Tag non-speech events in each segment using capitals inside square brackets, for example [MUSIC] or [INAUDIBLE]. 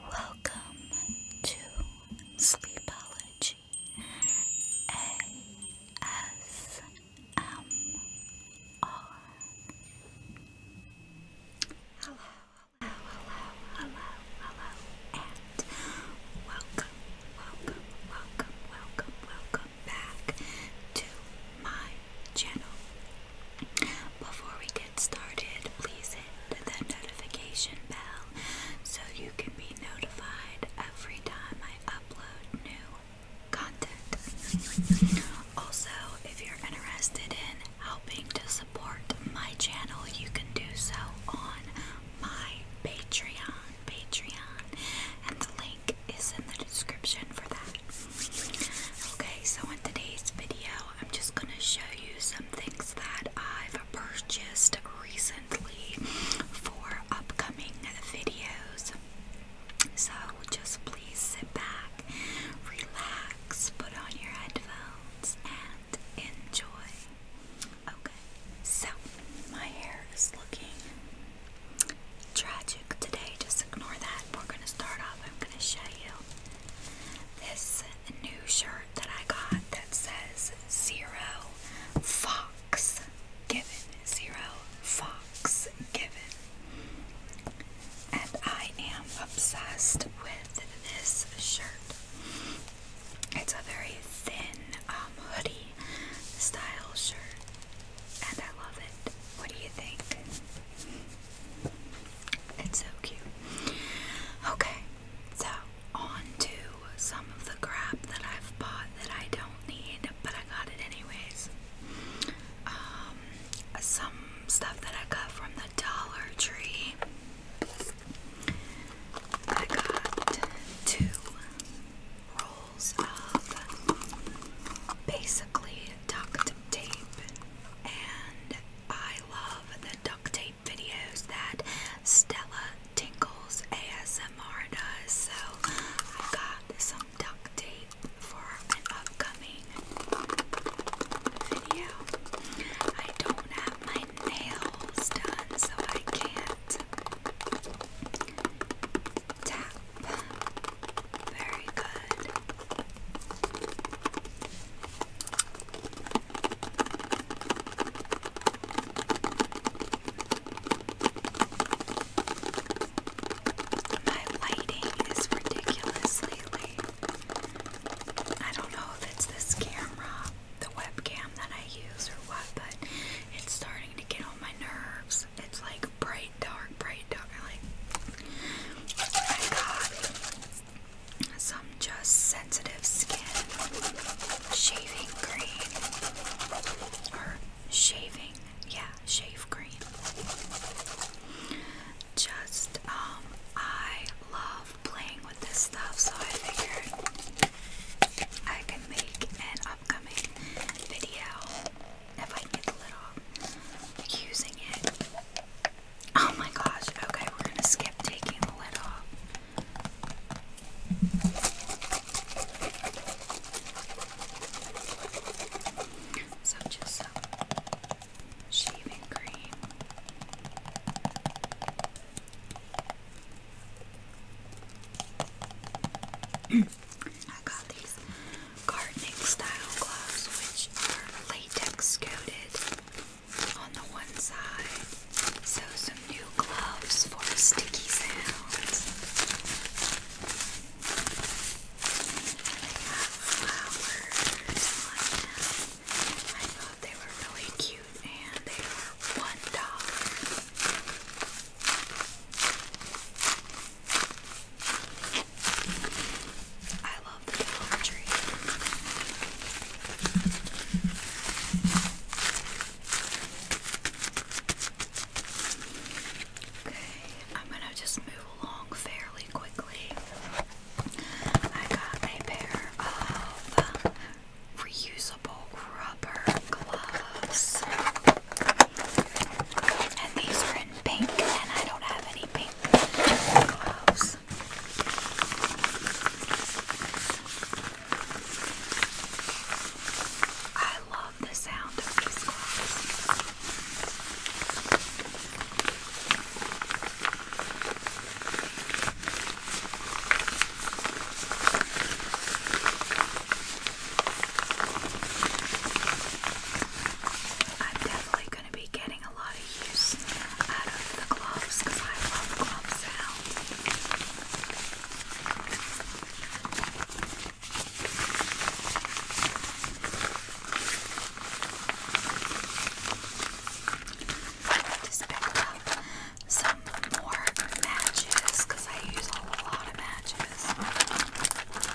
Welcome to Sleepology ASMR. Hello, hello, hello, hello, hello, and welcome, welcome, welcome, welcome, welcome back to my channel. Before we get started, please hit the notification bell so you can be notified every time I upload new content. also, if you're interested in helping to support my channel, you can do so on my Patreon. Patreon, and the link is in the description for that. Okay, so in today's video, I'm just going to show you some things that I've purchased recently for upcoming videos. So just please sit back, relax, put on your headphones, and enjoy. Okay, so my hair is looking tragic today. Just ignore that. We're going to start off. I'm going to show you this new shirt that I got that says Zero Fox Given. Zero Fox Given. And I am obsessed with this shirt. It's a very thin um, hoodie style shirt, and I love it. What do you think? It's so cute. Okay, so on to some of the crap that I've bought that I don't need, but I got it anyways. Um, some stuff that I got from the Dollar Tree. I got two rolls of basically duct tape, and I love the duct tape videos that Stella Tinkles ASMR does. So I got some duct tape for an upcoming video. I don't have my nails done, so I can't tap very good. My lighting is ridiculous I don't know if it's this camera, the webcam that I use, or what, but it's starting to get on my nerves. It's like bright dark, bright, dark. Like, I got some just sensitive skin shaving cream or shaving, yeah, shave cream. Just, um, I love playing with this stuff, so I figured I can make an upcoming video if I get the lid off using it. Oh my gosh, okay, we're gonna skip taking the lid off. shaving cream. [CLEARS THROAT] I got these gardening style gloves, which are latex coated on the one side. So, some new gloves for sticky hands. They have flowers on them. I thought they were really cute and they are $1. I love the Dollar Tree. Okay, I'm gonna just move along fairly quickly. I got a pair of reusable rubber gloves. And these are in pink, and I don't have any pink gloves. I love the sound of these gloves. I'm definitely going to be getting a lot of use out of the gloves because I love glove sounds. Just picked up some more matches because I use a lot of matches.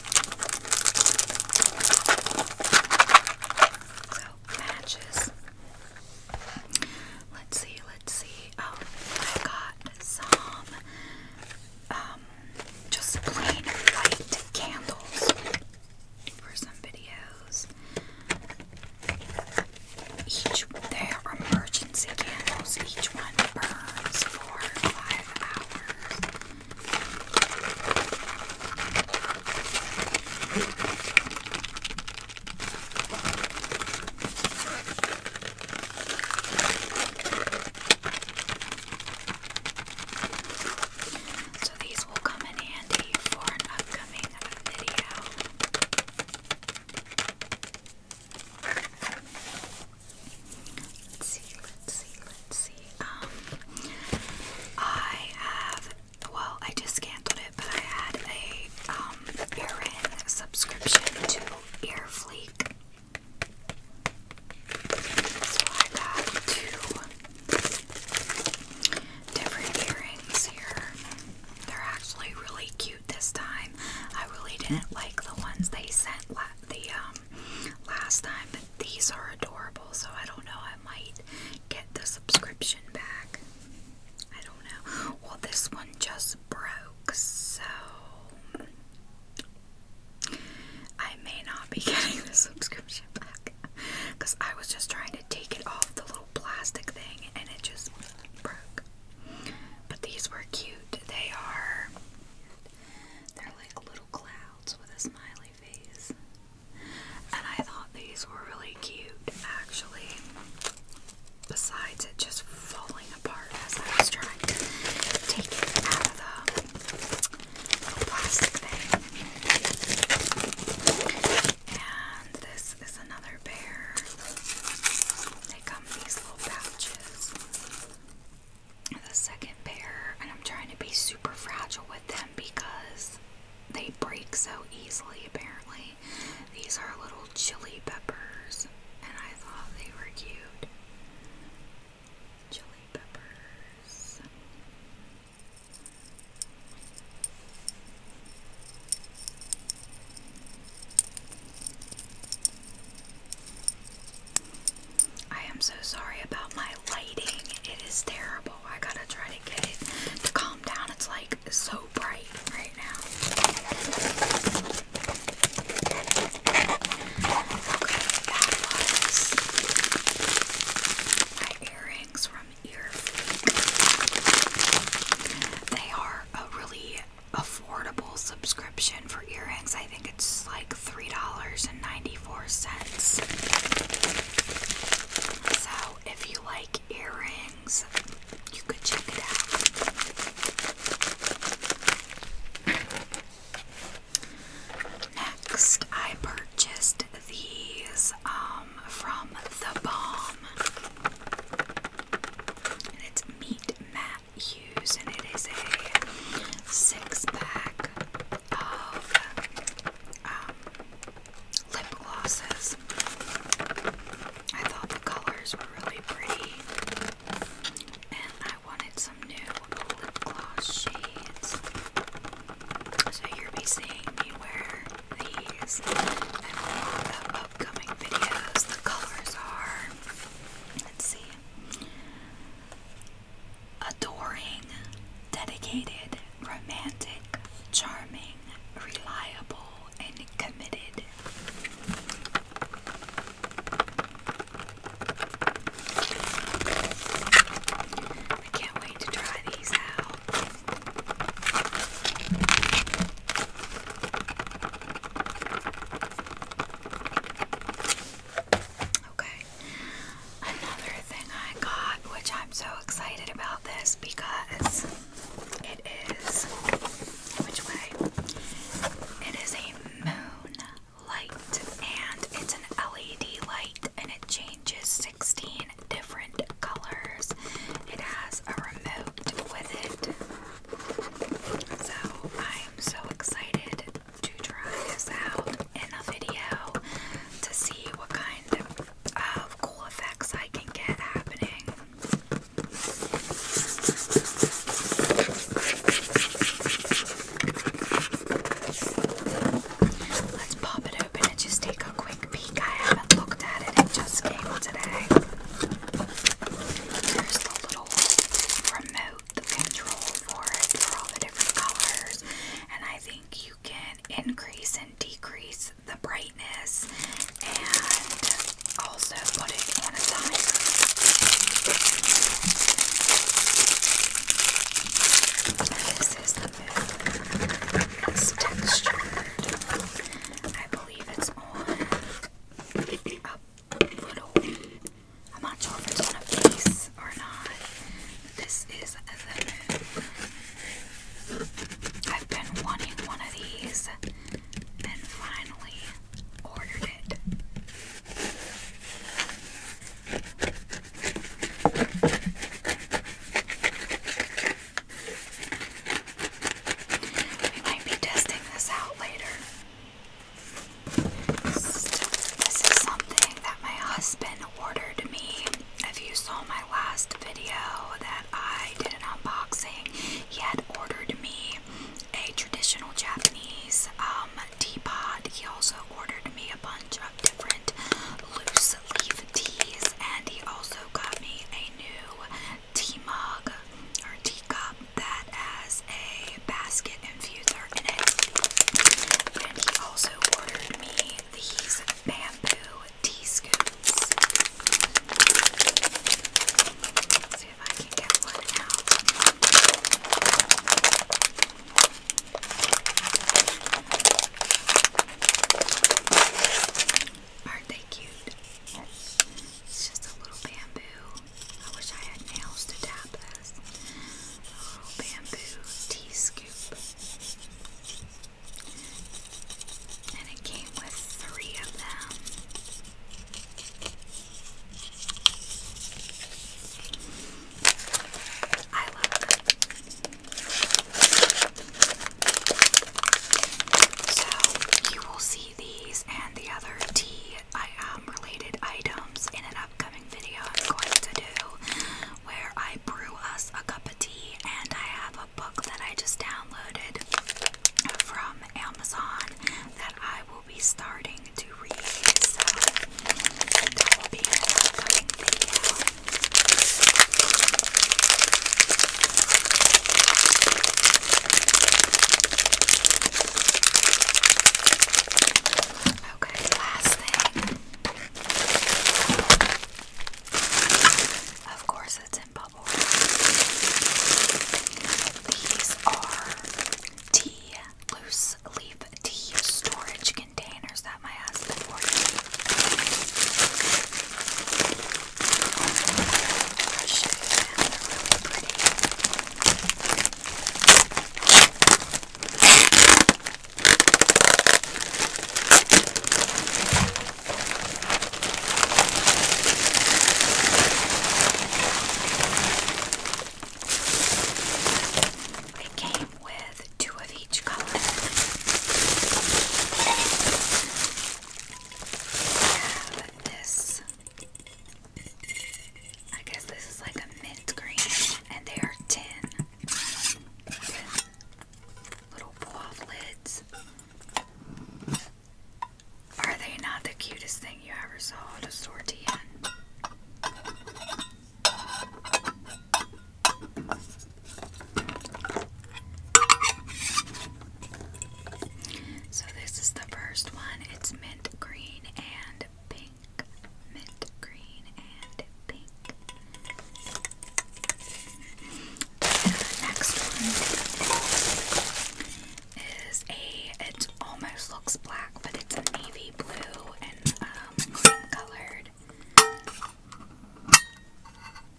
So matches. Let's see, let's see. Oh, I got some um, just plain white candles for some videos. Each they are emergency candles. Each one burns for five five hours. So these will come in handy for an upcoming video. Let's see, let's see, let's see. Um, I have, well, I just canceled it, but I had a um, earring subscription to Earfleek. So I got two different earrings here. They're actually really cute this time. I really didn't like the ones they sent. La the um, last time, but these are adorable, so I don't know. I might get the subscription back. I don't know. Well, this one just broke, so I may not be [LAUGHS] getting the subscription back because I was just trying to take it off the little plastic thing and it just broke. But these were cute. They are they're like little clouds with a smiley face. And I thought these were really cute, actually. Besides it just falling apart as I was trying to take it out of the plastic thing. And this is another bear. They come in these little pouches the second pair, and I'm trying to be super fragile with them because they break so easily, apparently. These are little chili peppers, and I thought they were cute. Chili peppers. I am so sorry about my lighting. It is terrible. I gotta try to get it to calm down. It's like so bright right now. Okay, that was my earrings from Ear They are a really affordable subscription for earrings. I think it's like $3.94. So if you like earrings, you could check it out. Next, I purchased these um, from The Bomb. it's Meat Mad use, and it is a six pack of um, lip glosses. I thought the colors were really pretty, and I wanted some new lip gloss shades. So you'll be seeing me wear these in all the upcoming videos. The colors are Adoring, dedicated, romantic, charming, reliable, and committed. I can't wait to try these out. Okay, another thing I got, which I'm so excited about this because it is which way? It is a moon light and it's an LED light and it changes 16 different colors. It has a remote with it. So I'm so excited to try this out in a video to see what kind of cool effects I can get happening. Let's pop it open and just take a quick peek. I haven't looked at it, it just came today. Here's the remote control for it for all the different colors, and I think you can increase and decrease the brightness and also put it on a timer. This is the book. texture. I believe it's on a little. I'm not sure if it's on a piece or not. This is the moon. I've been wanting one of these and finally ordered it. We might be testing this out later. this is something that my husband ordered me. If you saw my last video that I did an unboxing, he had ordered me a traditional Japanese um, teapot. He also ordered me a bunch of different loose leaf teas, and he also got me a new tea mug or teacup that has a basket infuser in it. And he also ordered me these bamboo tea scoops. see if I can get one out. Aren't they cute? It's just a little bamboo. I wish I had nails to tap this. little bamboo tea scoop. And it came with three of them. I love them. So, you will see these and the other tea related items in an upcoming video I'm going to do where I brew us a cup of tea and I have a book that I just downloaded from Amazon that I will be starting to read. in an upcoming video. Okay, last thing. Of course, it's in bubble. These are tea, loose leaf tea storage containers that my husband ordered brushes and they're really pretty. They came with two of each color have this. I guess this is like a mint green, and they are tin little pull-off lids. Are they not the cutest thing you ever saw at a so this is the first one. It's mint green and pink. Mint green and pink. The next one is a it almost looks black, but it's a navy blue and um, green colored.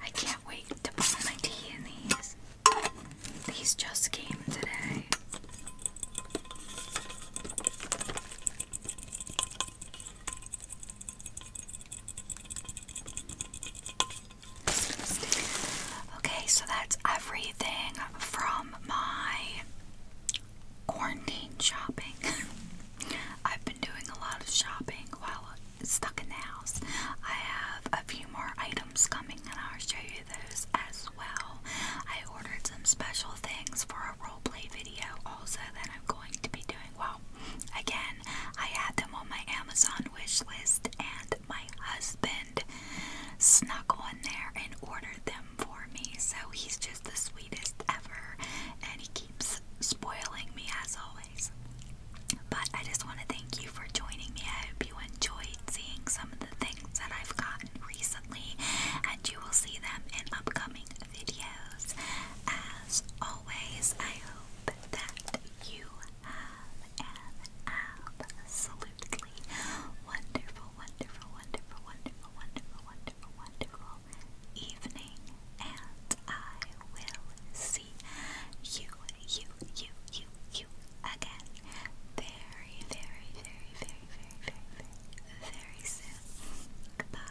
I can't wait to put my tea in these. These just came today. Okay, so that's everything from my quarantine shopping. [LAUGHS] I've been doing a lot of shopping while stuck in the house. I have a few more items coming and I'll show you those as well. I ordered some special things for a roleplay video also that I'm going to be doing. Well, again, I had them on my Amazon wish list, and my husband snuck on there and ordered them for me. So he's just the sweetest ever, and he keeps spoiling me as always. But I just want to thank you for joining me. I hope you enjoyed seeing some of the things that I've gotten recently, and you will see them in upcoming videos. As always, I hope that you have an absolutely wonderful, wonderful, wonderful, wonderful, wonderful, wonderful, wonderful evening. And I will see you, you, you, you, you again very, very, very, very, very, very, very soon. Goodbye.